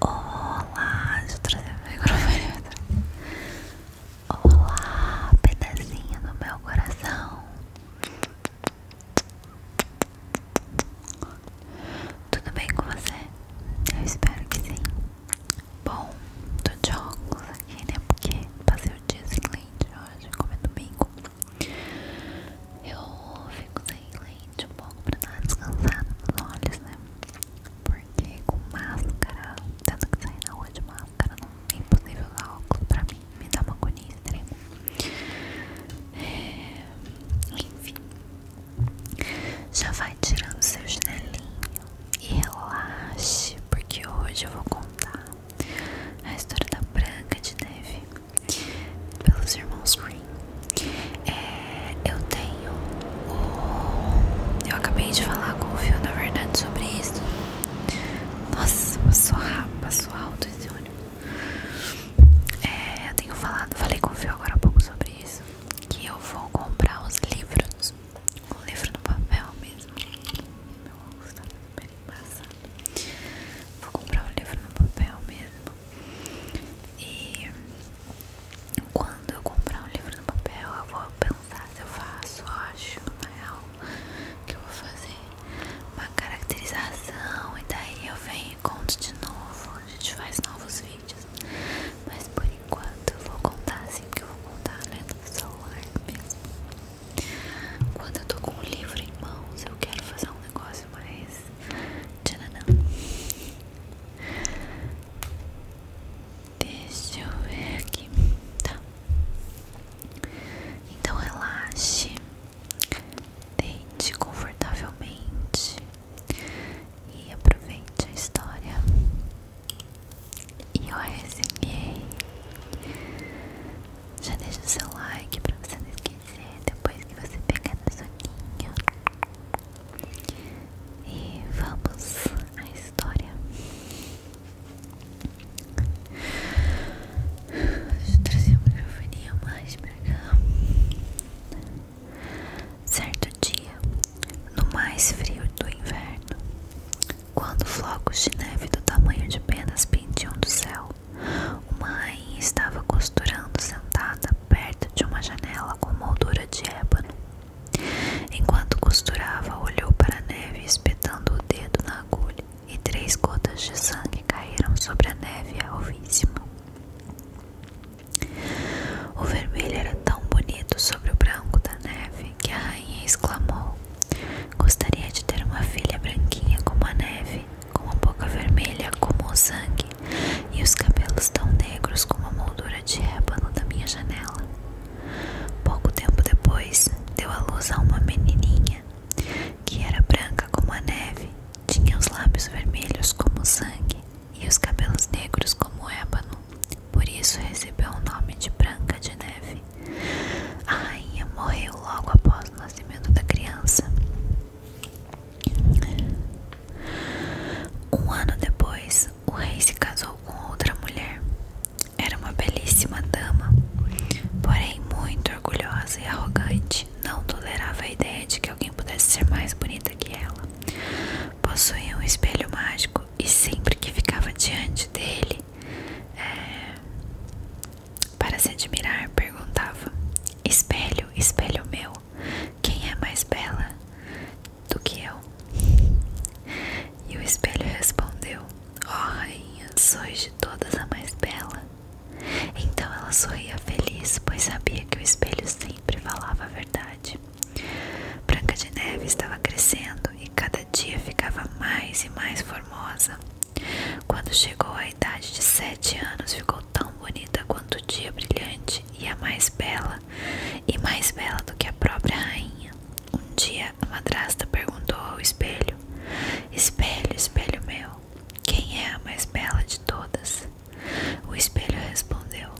Olá, deixa eu trazer meu microfone. Olá, pedacinho do meu coração. Tudo bem com você? Eu espero que sim. Bom, tô de óculos aqui, né? Porque passei o dia sem lente hoje, como é domingo. Eu fico sem lente um pouco pra dar descansado nos olhos, né? Porque com máscara, tendo que sair na rua de máscara, não é impossível usar óculos pra mim, me dá uma agonia extrema. É, enfim, já vai tirando seu chinelinho e relaxe, porque hoje eu vou contar a história da Branca de Neve pelos irmãos Grimm. É, eu tenho Eu acabei de falar com o Fio, na verdade, sobre isso. Nossa, passou rápido, passou alto esse ônibus. É, eu tenho falado, falei com o Fio agora há pouco sobre isso. Que eu vou comprar os livros. Um livro no papel mesmo. Meu óculos tá super embaçado. Vou comprar o um livro no papel mesmo. E quando eu comprar um livro no papel, eu vou pensar se eu faço, acho, na real, que eu vou fazer uma caracterização e daí eu venho e conto de novo, a gente faz novos vídeos. Mas por enquanto eu vou contar assim, que eu vou contar lendo né, no celular mesmo. Quando eu tô com um livro em mãos, eu quero fazer um negócio jogos, mas tcharanã. Deixa eu ver aqui. Tá. Então relaxe, deite confortavelmente e aproveite a história. E eu resenhei. Já deixa o seu like pra você não esquecer depois que você pegar na sua soninho. E vamos à história. Deixa eu trazer a mais pra Certo dia, no mais frio do inverno, quando flocos de neve do tamanho de penas pendiam do céu, uma rainha estava costurando sentada perto de uma janela com moldura de ébano. Enquanto costurava, olhou para a neve, espetando o dedo na agulha, e três gotas de sangue caíram sobre a neve alvíssima. O vermelho era tão bonito sobre o branco da neve que a rainha exclamou: Gostaria de ter uma filha branquinha como a neve, com uma boca vermelha como o sangue e os cabelos tão negros como a moldura de ébano da minha janela. Pouco tempo depois, deu à luz a uma menininha que era branca como a neve, tinha os lábios vermelhos como sangue e os cabelos negros como ébano. Por isso recebeu o nome de Branca de Neve. A rainha morreu logo após o nascimento da criança. Um ano depois, o rei se casou com outra mulher. Era uma belíssima dama, porém muito orgulhosa e arrogante. Não tolerava a ideia de que alguém pudesse ser mais bonita que ela. Possuía um espelho mágico e sempre que ficava diante dele é, para se admirar, perguntava: Espelho, espelho meu, quem é mais bela do que eu? E o espelho respondeu: Ó rainha, sois de todas a mais bela. Então ela sorria feliz, pois sabia que o espelho sempre falava a verdade. Branca de Neve estava crescendo e cada dia ficava mais e mais formosa. Quando chegou à idade de sete anos, ficou tão bonita quanto o dia brilhante e a mais bela, e mais bela do que a própria rainha. Um dia a madrasta perguntou ao espelho: Espelho, espelho meu, quem é a mais bela de todas? O espelho respondeu: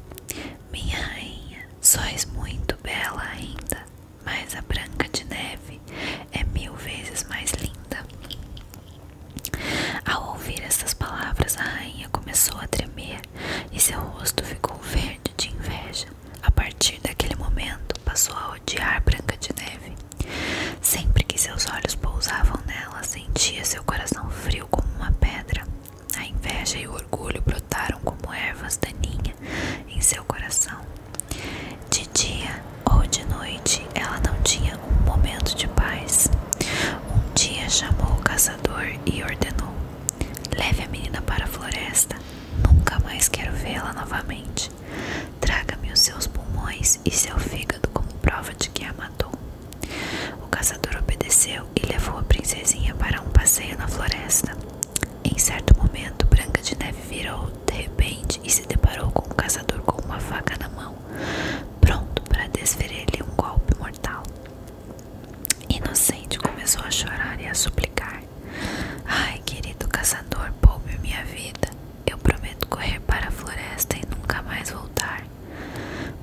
Minha rainha, só és muito bela ainda, mas a Branca de Neve é mil vezes mais linda. Ao ouvir essas palavras, a rainha começou a tremer e seu rosto ficou verde de inveja. A partir daquele momento, passou a odiar Branca de Neve. Sempre que seus olhos pousavam nela, sentia seu coração frio como uma pedra. A inveja e o orgulho brotaram como ervas daninhas em seu coração. De dia ou de noite, ela não tinha um momento de paz. Um dia chamou o caçador e ordenou: Leve a menina para a floresta. Nunca mais quero vê-la novamente. Traga-me os seus pulmões e seu fígado como prova de que a matou. O caçador obedeceu e levou a princesinha para um passeio na floresta. Em certo momento, Branca de Neve virou de repente e se deparou com o caçador com uma faca na mão, pronto para desferir-lhe um golpe mortal. Inocente começou a chorar e a suplicar: Ai, querido caçador, poube minha vida. Eu prometo correr para a floresta e nunca mais voltar.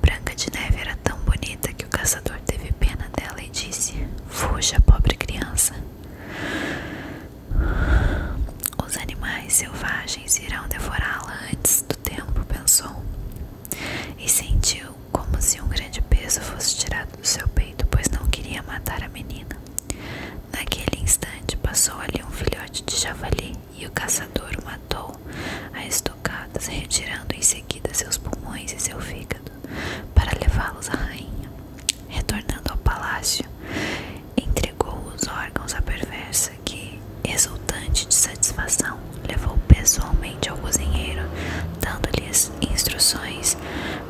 Branca de Neve era tão bonita que o caçador teve pena dela e disse: Fuja, pobre criança. Os animais selvagens irão devorá-la antes do tempo, pensou. E sentiu como se um grande peso fosse tirado do seu peito, pois não queria matar a menina. Naquele instante passou ali um filhote de javali e o caçador matou a estocadas, retirando em seguida seus pulmões e seu fígado para levá-los à rainha. Retornando ao palácio, entregou os órgãos à perversa conversa que, exultante de satisfação, levou pessoalmente ao cozinheiro, dando-lhes instruções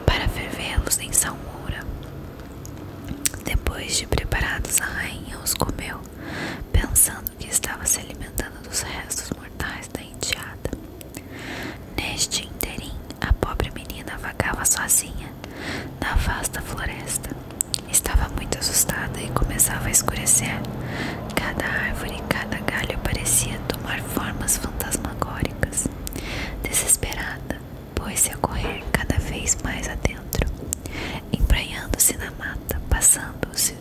para fervê-los em salmoura. Depois de preparados, a rainha os comeu, pensando que estava se alimentando dos restos mortais da enteada. Neste interim, a pobre menina vagava sozinha na vasta floresta, Estava muito assustada e começava a escurecer. Cada árvore, cada galho parecia tomar formas fantasmagóricas. Desesperada, pôs-se a correr cada vez mais adentro, empranhando-se na mata, passando-se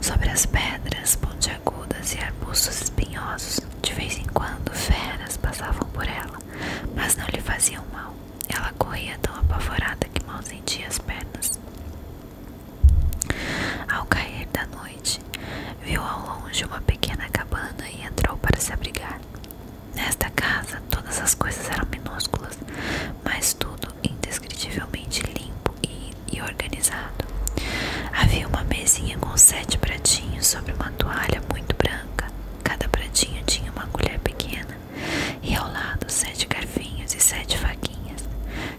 sobre as pedras pontiagudas e arbustos espinhosos. De vez em quando, feras passavam por ela, mas não lhe faziam mal. Ela corria tão apavorada que mal sentia as pernas. Ao cair da noite, viu ao longe uma pequena cabana e entrou para se abrigar. Nesta casa, todas as coisas eram minúsculas, mas tudo indescritivelmente limpo e, organizado. Havia uma mesinha com sete pratinhos sobre uma toalha muito branca. Cada pratinho tinha uma colher pequena e ao lado sete garfinhos e sete faquinhas,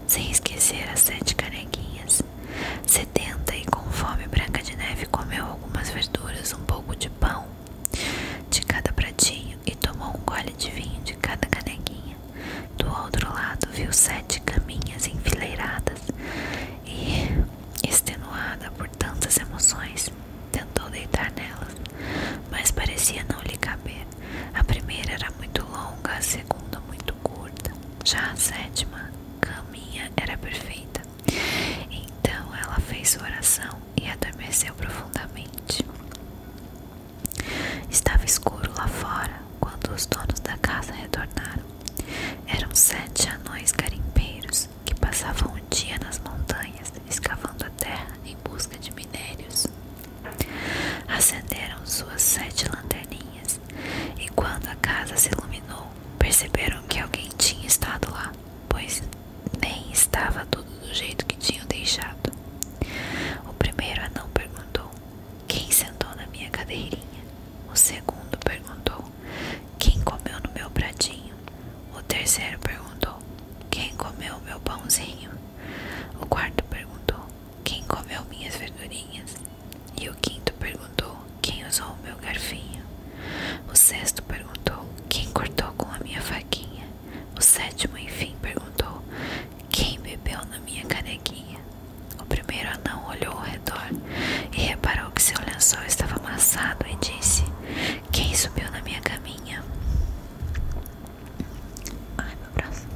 sem esquecer as sete canequinhas. Setenta e com fome Branca de Neve comeu algumas verduras, um pouco de pão de cada pratinho e tomou um gole de vinho de cada canequinha. Do outro lado viu sete caminhas enfileiradas e, extenuada por tantas emoções, tentou deitar nelas, mas parecia não lhe caber. A primeira era muito longa, a segunda muito curta. Já a sétima, caminha, era perfeita. Então ela fez sua oração e adormeceu profundamente. Estava escuro lá fora quando os donos da casa retornaram. Eram sete anões garimpeiros que passavam o dia nas montanhas escavando a terra em busca de minérios. Acenderam suas sete lanterninhas, e quando a casa se iluminou, perceberam que alguém tinha estado lá, pois nem estava tudo do jeito que tinham deixado. O primeiro anão perguntou: Quem sentou na minha cadeirinha? O segundo perguntou: Quem comeu no meu pratinho? O terceiro perguntou: Quem comeu o meu pãozinho? O quarto perguntou: Quem comeu minhas verdurinhas? E o quinto perguntou: Quem usou o meu garfinho? O sexto perguntou: Quem cortou com a minha faquinha? O sétimo, enfim, perguntou: Quem bebeu na minha canequinha? O primeiro anão olhou ao redor e reparou que seu lençol estava amassado e disse: Quem subiu na minha caminha? Ai, meu braço.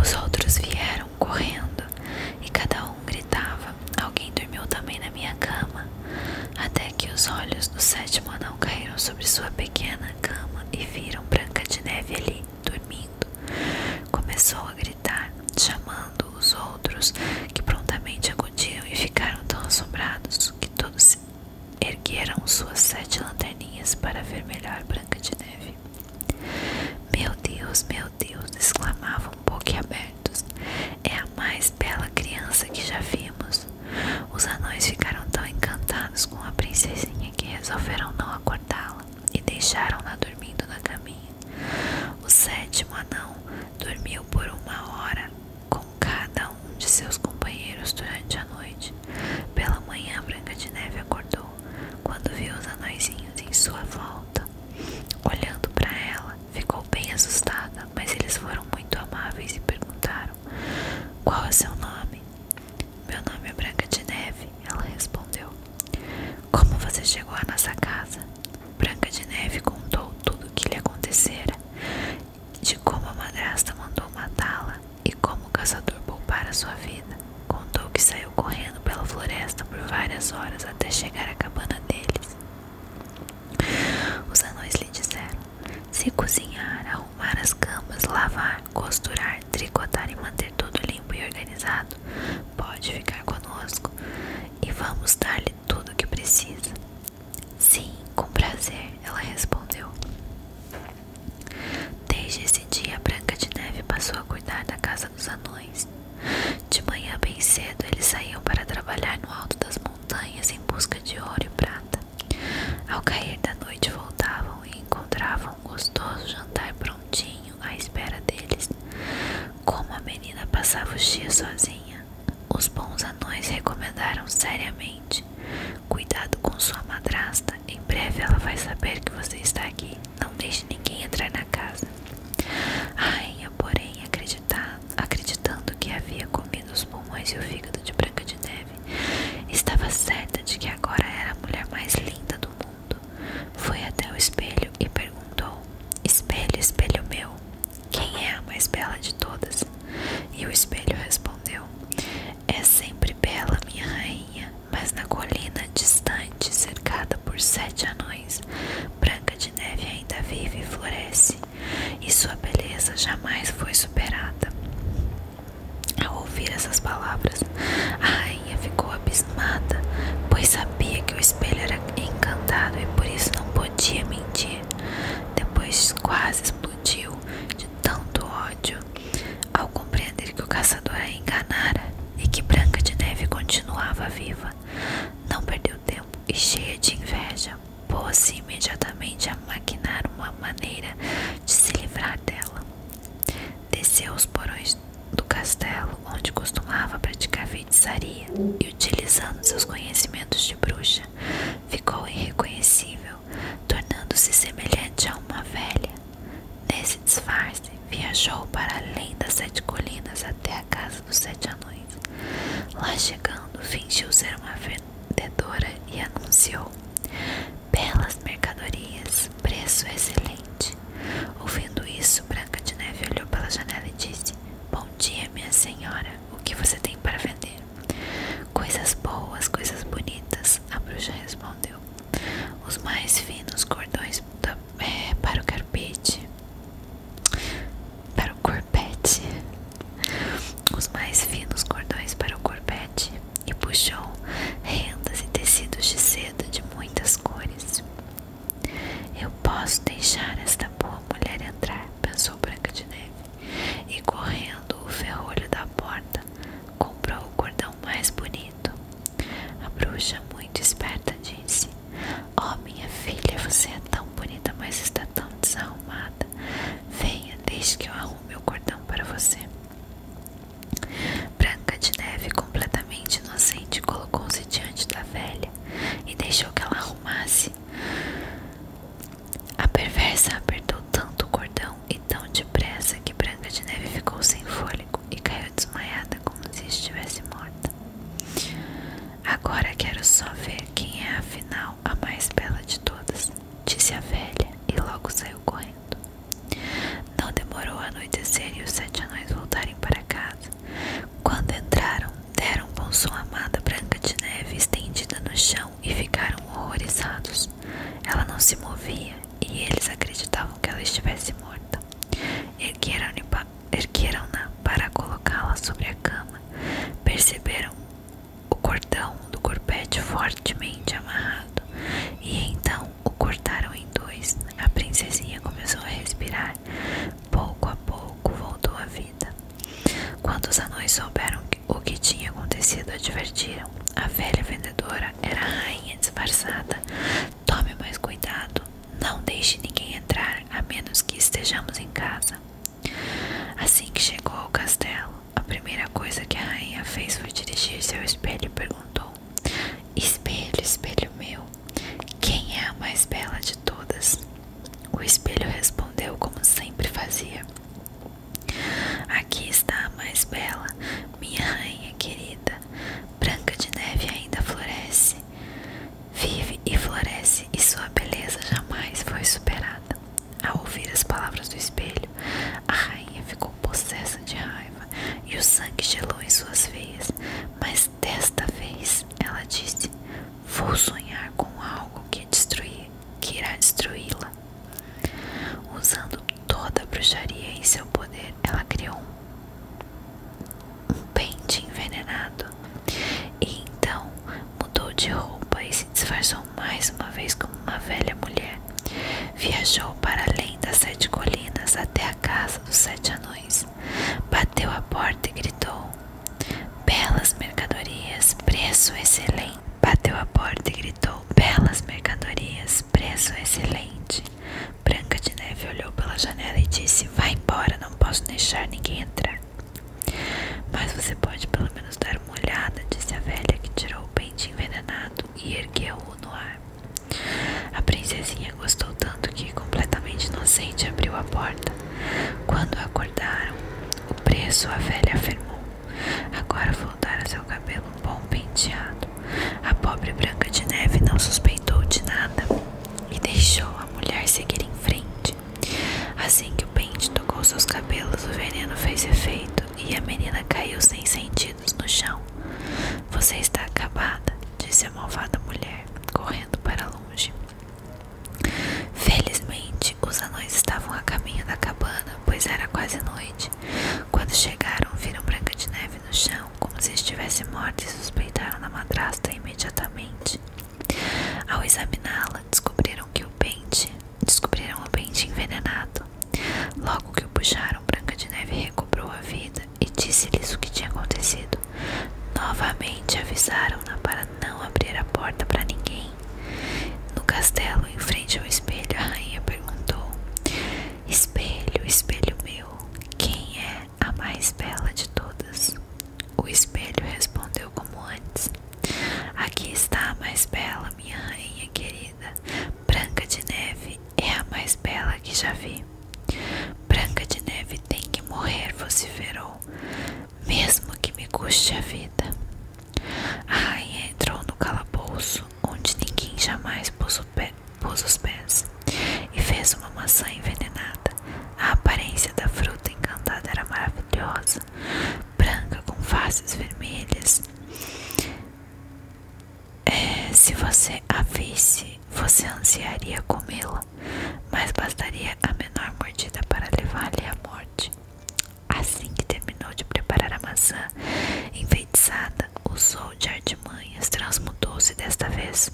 Os outros vieram correndo e cada um gritava. Alguém dormiu também na minha cama. Até que os olhos do sétimo anão caíram sobre sua pequena cama e viram Branca de Neve ali, dormindo. Começou a gritar, chamando os outros, que prontamente acudiram e ficaram tão assombrados que todos se Ergueram suas sete lanterninhas para ver melhor Branca de Neve. Meu Deus, meu Deus! exclamavam boquiabertos. É a mais bela criança que já vimos. Os anões ficaram tão encantados com a princesinha que resolveram não acordá-la e deixaram-na dormindo na caminha. O sétimo anão dormiu por uma hora com cada um de seus companheiros durante a noite. Pela manhã, Branca de Neve acordou quando viu os anõezinhos em sua volta. Olhando para ela, ficou bem assustada, mas eles foram muito amáveis e perguntaram: Qual é seu nome? Meu nome é Branca de Neve, ela respondeu. Como você chegou à nossa casa? Branca de Neve contou tudo o que lhe acontecera de como a madrasta mandou matá-la e como o caçador poupara sua vida. Contou que saiu correndo pela floresta por várias horas até chegar à cabana deles. Os anões lhe disseram: se cozinhar, arrumar as camas, lavar, costurar, tricotar e manter tudo limpo e organizado, pode ficar conosco e vamos dar-lhe tudo o que precisa. Sim, com prazer, ela respondeu. Desde esse dia, Branca de Neve passou a cuidar da casa dos anões. De manhã bem cedo, eles saíam para trabalhar no alto das montanhas em busca de ouro e prata. Ao cair da noite, voltavam e encontravam um gostoso jantar prontinho à espera deles. Como a menina passava o dia sozinha, os bons anões recomendaram seriamente: Cuidado com sua madrasta, em breve ela vai saber que você está aqui. Não deixe ninguém entrar na casa. A rainha, porém, acreditando que havia comido os pulmões e o fígado de Branca de Neve, estava certa de que agora era a mulher mais linda do mundo. Foi até o espelho e perguntou: Espelho, espelho meu, quem é a mais bela de todas? E o espelho respondeu: É sempre bela, minha rainha, mas na colina distante, cercada por sete anões, Branca de Neve ainda vive e floresce, e sua beleza jamais foi superada. Ao ouvir essas palavras, a rainha ficou abismada, pois sabia que o espelho era encantado e por isso não podia mentir. Depois quase explodiu explodiu de tanto ódio ao compreender que o caçador a enganara e que Branca de Neve continuava viva. Não perdeu tempo e, cheia de inveja, pôs-se imediatamente a maquinar uma maneira de se livrar dela. Desceu os porões do castelo onde costumava praticar feitiçaria e, utilizando seus conhecimentos de bruxa, ficou irreconhecível, tornando-se semelhante a uma velha. Nesse disfarce, viajou para além das sete colinas até a casa dos sete anões. Lá chegando, fingiu ser uma vendedora e anunciou: Belas mercadorias, preço excelente. Ouvindo isso, Branca de Neve olhou pela janela e disse: Bom dia, minha senhora, o que você tem para vender? Coisas boas, coisas bonitas, a bruxa respondeu. Os mais finos cordões é, para o carpete. Para o corpete. Os mais finos cordões para o corpete. E puxou rendas e tecidos de seda de muitas cores. Eu posso deixar esta boa mulher entrar, pensou Branca de Neve. E correndo o ferrolho da porta, comprou o cordão mais bonito. A bruxa, muito esperta, disse: "Ó minha filha, você é tão bonita, mas está tão desarrumada. Venha, deixe que eu arrume o cordão para você. Branca de Neve, completamente inocente, colocou-se diante da velha e deixou que ela arrumasse a perversa apertou tanto o cordão e tão depressa que Branca de Neve ficou sem fôlego e caiu desmaiada como se estivesse morta. Agora quero só ver quem é afinal a mais bela de todas, disse a velha e logo saiu correndo. Não demorou a anoitecer e os sete anões voltarem para casa. Quando entraram Deram com sua amada Branca de Neve estendida no chão e ficaram horrorizados. Ela não se movia e eles acreditavam que ela estivesse morta. Ergueram-na para colocá-la sobre a cama. Perceberam o cordão do corpete fortemente amarrado e então o cortaram em dois. A princesinha começou a respirar. Pouco a pouco voltou à vida. Quando os anões souberam o que tinha acontecido, advertiram: a velha vendedora era a rainha disfarçada. Tome mais cuidado, não deixe ninguém entrar a menos que estejamos em casa. Assim que chegou ao castelo, a primeira coisa que a rainha fez foi dirigir-se ao espelho e perguntou: Espelho, espelho meu, quem é a mais bela de todas? O espelho respondeu como sempre fazia: Aqui está a mais bela, minha rainha querida. Branca de Neve ainda floresce, vive e floresce, e sua beleza jamais foi superada. Ao ouvir as palavras do espelho, a rainha ficou possessa de raiva e o sangue gelou em suas veias. Mas desta vez, ela disse: Vou sonhar com algo que, destruir, que irá destruí-la. Usando toda a bruxaria em seu poder, ela criou um, pente envenenado. E então mudou de roupa e se disfarçou mais uma vez como uma velha mulher. Viajou para além das sete colinas até a casa dos sete anões. Bateu à porta e gritou: Belas mercadorias, preço excelente. Bateu a porta e gritou: Belas mercadorias, preço excelente. Branca de Neve olhou pela janela e disse: Vá embora, não posso deixar ninguém entrar. Mas você pode pelo menos dar uma olhada, disse a velha que tirou o pente envenenado e ergueu-o no ar. A princesinha gostou tanto que, completamente inocente, abriu a porta. Quando acordou acordaram. O preço, a velha afirmou. Agora vou seu cabelo um bom penteado. A pobre Branca de Neve não suspeitou de nada e deixou a mulher seguir em frente. Assim que o pente tocou seus cabelos, o veneno fez efeito e a menina caiu sem sentidos no chão. Você está acabada, disse a malvada mulher, correndo para longe. Felizmente, os anões estavam a caminho da cabana, pois era quase noite. Quando chegaram, viram Branca de Neve no chão, como se estivesse morta, e suspeitaram da madrasta imediatamente. Ao examiná-la, descobriram que o pente descobriram o pente envenenado. Logo que o puxaram, Branca de Neve recobrou a vida e disse-lhes o que tinha acontecido. Novamente avisaram-na para não abrir a porta para ninguém no castelo, em frente ao espelho, a rainha perguntou: Espelho, espelho meu, quem é a mais bela de todas? O espelho respondeu como antes: Aqui está a mais bela, minha rainha querida. Branca de Neve é a mais bela que já vi. Branca de Neve tem que morrer, vociferou mesmo que me custe a vida. A rainha entrou no calabouço, onde ninguém jamais pôs, os pés, e fez uma maçã envenenada. A aparência da fruta encantada era maravilhosa, branca com faces vermelhas. É, se você a visse, você ansiaria comê-la, mas bastaria a menor mordida para levá lhe à morte. Assim que terminou de preparar a maçã, enfeitiçada, o sol de artimanhas, transmutou-se desta vez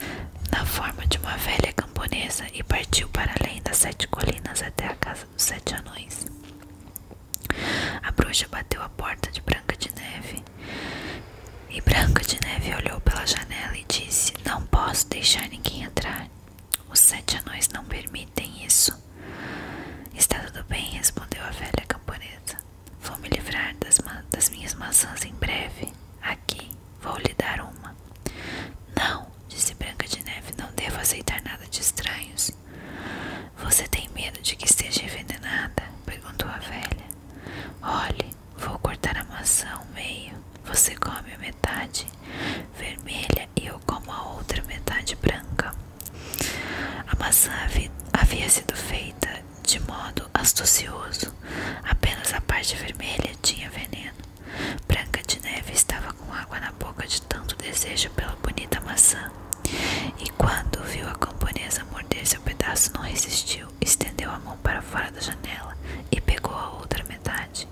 na forma de uma velha camponesa e partiu para além das sete colinas até a casa dos sete anões. A bruxa bateu a porta de Branca de Neve e Branca de Neve olhou pela janela e disse: Não posso deixar ninguém entrar. Os sete anões não permitem isso. Está tudo bem, respondeu a velha camponesa. Vou me livrar das, minhas maçãs em breve. Aqui, vou lhe dar uma. Não, disse Branca de Neve, não devo aceitar nada de estranhos. Você tem medo de que esteja envenenada? perguntou a velha. Olhe, vou cortar a maçã ao meio. Você come a metade vermelha e eu como a outra metade branca. A maçã havia sido feita de modo astucioso, apenas a parte vermelha tinha veneno. Branca de Neve estava com água na boca de tanto desejo pela bonita maçã, e quando viu a camponesa morder seu pedaço, não resistiu, estendeu a mão para fora da janela e pegou a outra metade.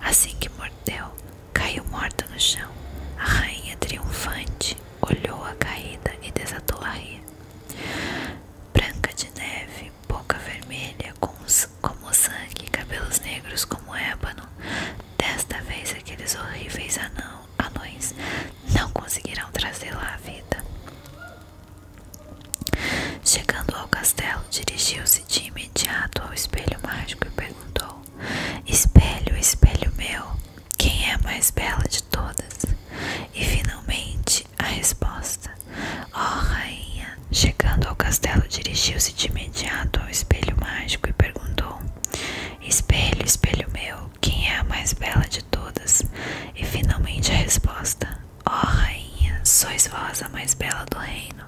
Assim que mordeu, caiu morta no chão. A rainha triunfante olhou a caída e desatou a rir. Branca de neve, boca vermelha, como sangue cabelos negros como ébano, desta vez aqueles horríveis anão, anões não conseguirão trazê-la à vida. Chegando ao castelo, dirigiu-se se de imediato ao espelho mágico e perguntou: Espelho, espelho meu, quem é a mais bela de todas? E finalmente a resposta: "Ó oh, rainha! Chegando ao castelo, dirigiu-se de imediato ao espelho mágico e perguntou: Espelho, espelho meu, quem é a mais bela de todas? E finalmente a resposta: Ó oh, rainha, sois vós a mais bela do reino.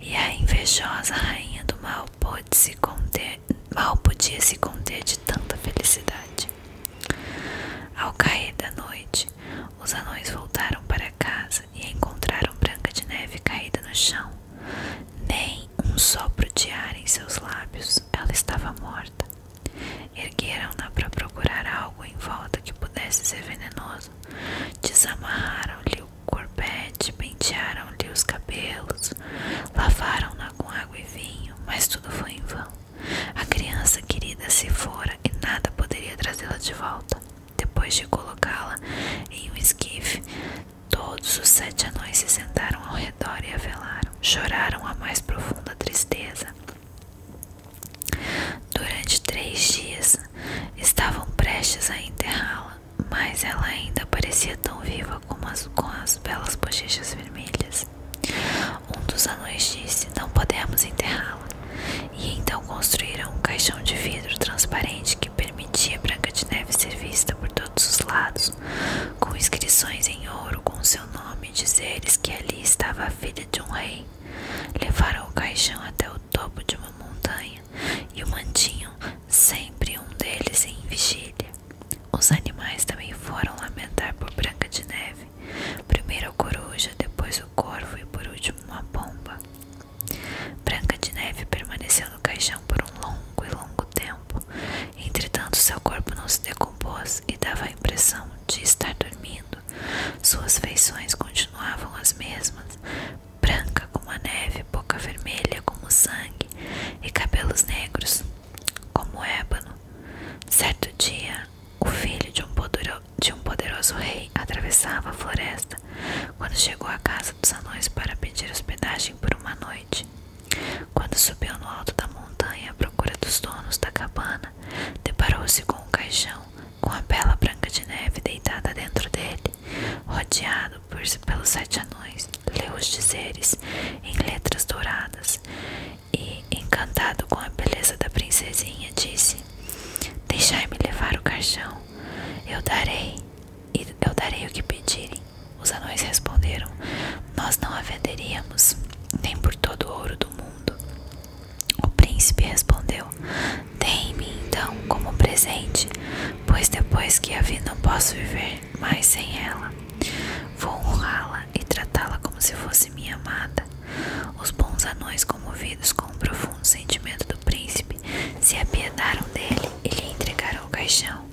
E a invejosa rainha do mal pôde se conter, mal podia se conter de tanta felicidade. Ao cair da noite, os anões voltaram para casa e encontraram Branca de Neve caída no chão. Nem um sopro de ar em seus lábios, ela estava morta. Ergueram-na para procurar algo em volta que pudesse ser venenoso. Desamarraram-lhe corpete é pentearam-lhe os cabelos, lavaram-na com água e vinho, mas tudo foi em vão. A criança querida se fora e nada poderia trazê-la de volta. Depois de colocá-la em um esquife, todos os sete anões se sentaram ao redor e a velaram. Choraram a mais profunda tristeza. Durante três dias estavam prestes a enterrá-la, mas ela ainda parecia tão viva como as, com belas bochechas vermelhas. Um dos anões disse: Não podemos enterrá-la. E então construíram um caixão de vidro transparente que permitia Branca de Neve ser vista por todos os lados, com inscrições em ouro com seu nome, dizeres que ali estava a filha de um rei. Levaram o caixão até o topo de uma montanha e o mantinho, sempre um deles em vigília. Os animais também foram lamentar por Branca de Neve, primeiro a coruja, depois o corvo e por último a pomba. Branca de Neve permaneceu no caixão por um longo e longo tempo, entretanto seu corpo não se decompôs e dava a impressão de estar dormindo. Suas feições continuavam as mesmas, branca como a neve, boca vermelha como sangue e cabelos negros como ébano. Certo dia, o filho de um, poderoso, rei atravessava a floresta quando chegou à casa dos anões para pedir hospedagem por uma noite. Quando subiu no alto da montanha à procura dos donos da cabana, deparou-se com um caixão com a bela Branca de Neve deitada dentro dele, rodeado pelos sete anões, leu os dizeres em letras douradas e, encantado com a beleza da princesinha, disse: Deixai-me levar o caixão, eu darei, eu darei o que pedirem. Os anões responderam: Nós não a venderíamos, nem por todo o ouro do mundo. O príncipe respondeu: Dei-me então como presente, pois depois que a vi não posso viver mais sem ela. Vou honrá-la e tratá-la como se fosse minha amada. Os bons anões, comovidos com o profundo sentimento do príncipe, se apiedaram dele e lhe entregaram o caixão.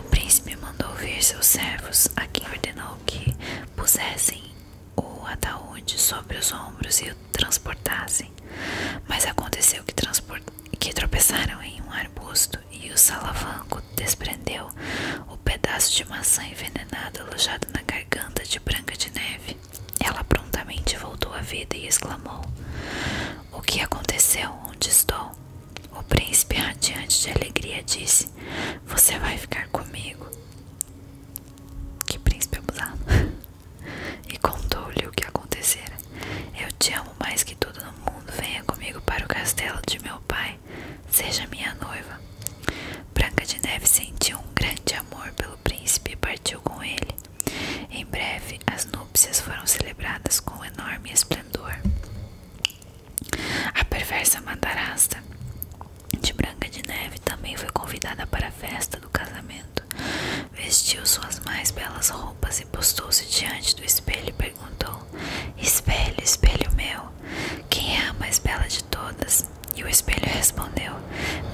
O príncipe mandou ouvir seus servos, a quem ordenou que pusessem o ataúde sobre os ombros e o transportassem, mas aconteceu que, tropeçaram em um arbusto e o salavanco desprendeu o pedaço de maçã envenenado alojado na garganta de Branca de Neve. Ela prontamente voltou à vida e exclamou: O que aconteceu? Onde estou? O príncipe, radiante de alegria, disse: Você vai ficar comigo. Que príncipe abusado. e contou-lhe o que acontecera. Eu te amo mais que todo no mundo. Venha comigo para o castelo de meu pai. Seja minha noiva. Branca de Neve sentiu um grande amor pelo príncipe e partiu com ele. Em breve, as núpcias foram celebradas com enorme esplendor. A perversa madarasta de Branca de Neve também foi convidada para a festa do casamento. Vestiu suas mais belas roupas e postou-se diante do espelho e perguntou: Espelho, espelho meu, quem é a mais bela de todas? E o espelho respondeu: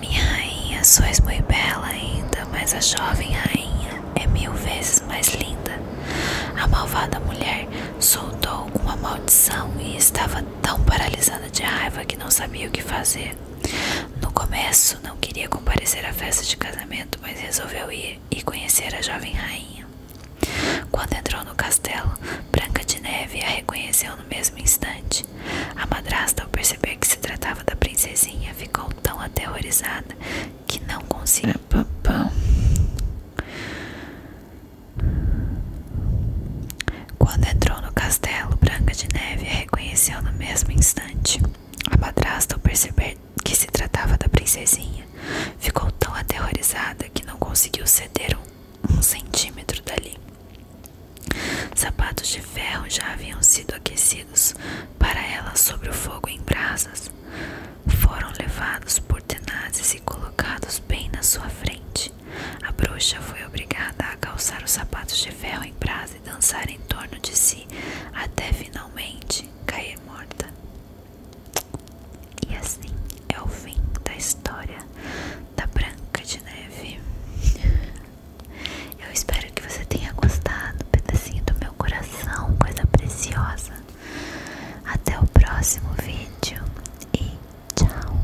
Minha rainha, sois muito bela ainda, mas a jovem rainha é mil vezes mais linda. A malvada mulher soltou uma maldição e estava tão paralisada de raiva que não sabia o que fazer. No começo, não queria comparecer à festa de casamento, mas resolveu ir e conhecer a jovem rainha. Quando entrou no castelo, Branca de Neve a reconheceu no mesmo instante. A madrasta, ao perceber que se tratava da princesinha, ficou tão aterrorizada que não conseguiu. É, quando entrou no castelo, Branca de Neve a reconheceu no mesmo instante. A madrasta, ao perceber que se tratava da princesinha, ficou tão aterrorizada que não conseguiu ceder um, um centímetro dali. Sapatos de ferro já haviam sido aquecidos para ela sobre o fogo em brasas. Foram levados por tenazes e colocados bem na sua frente. A bruxa foi obrigada a calçar os sapatos de ferro em brasa e dançar em torno de si, até finalmente cair morta. E assim é o fim da história da Branca de Neve. Eu espero que você tenha gostado, pedacinho do meu coração, coisa preciosa. Até o próximo vídeo e tchau.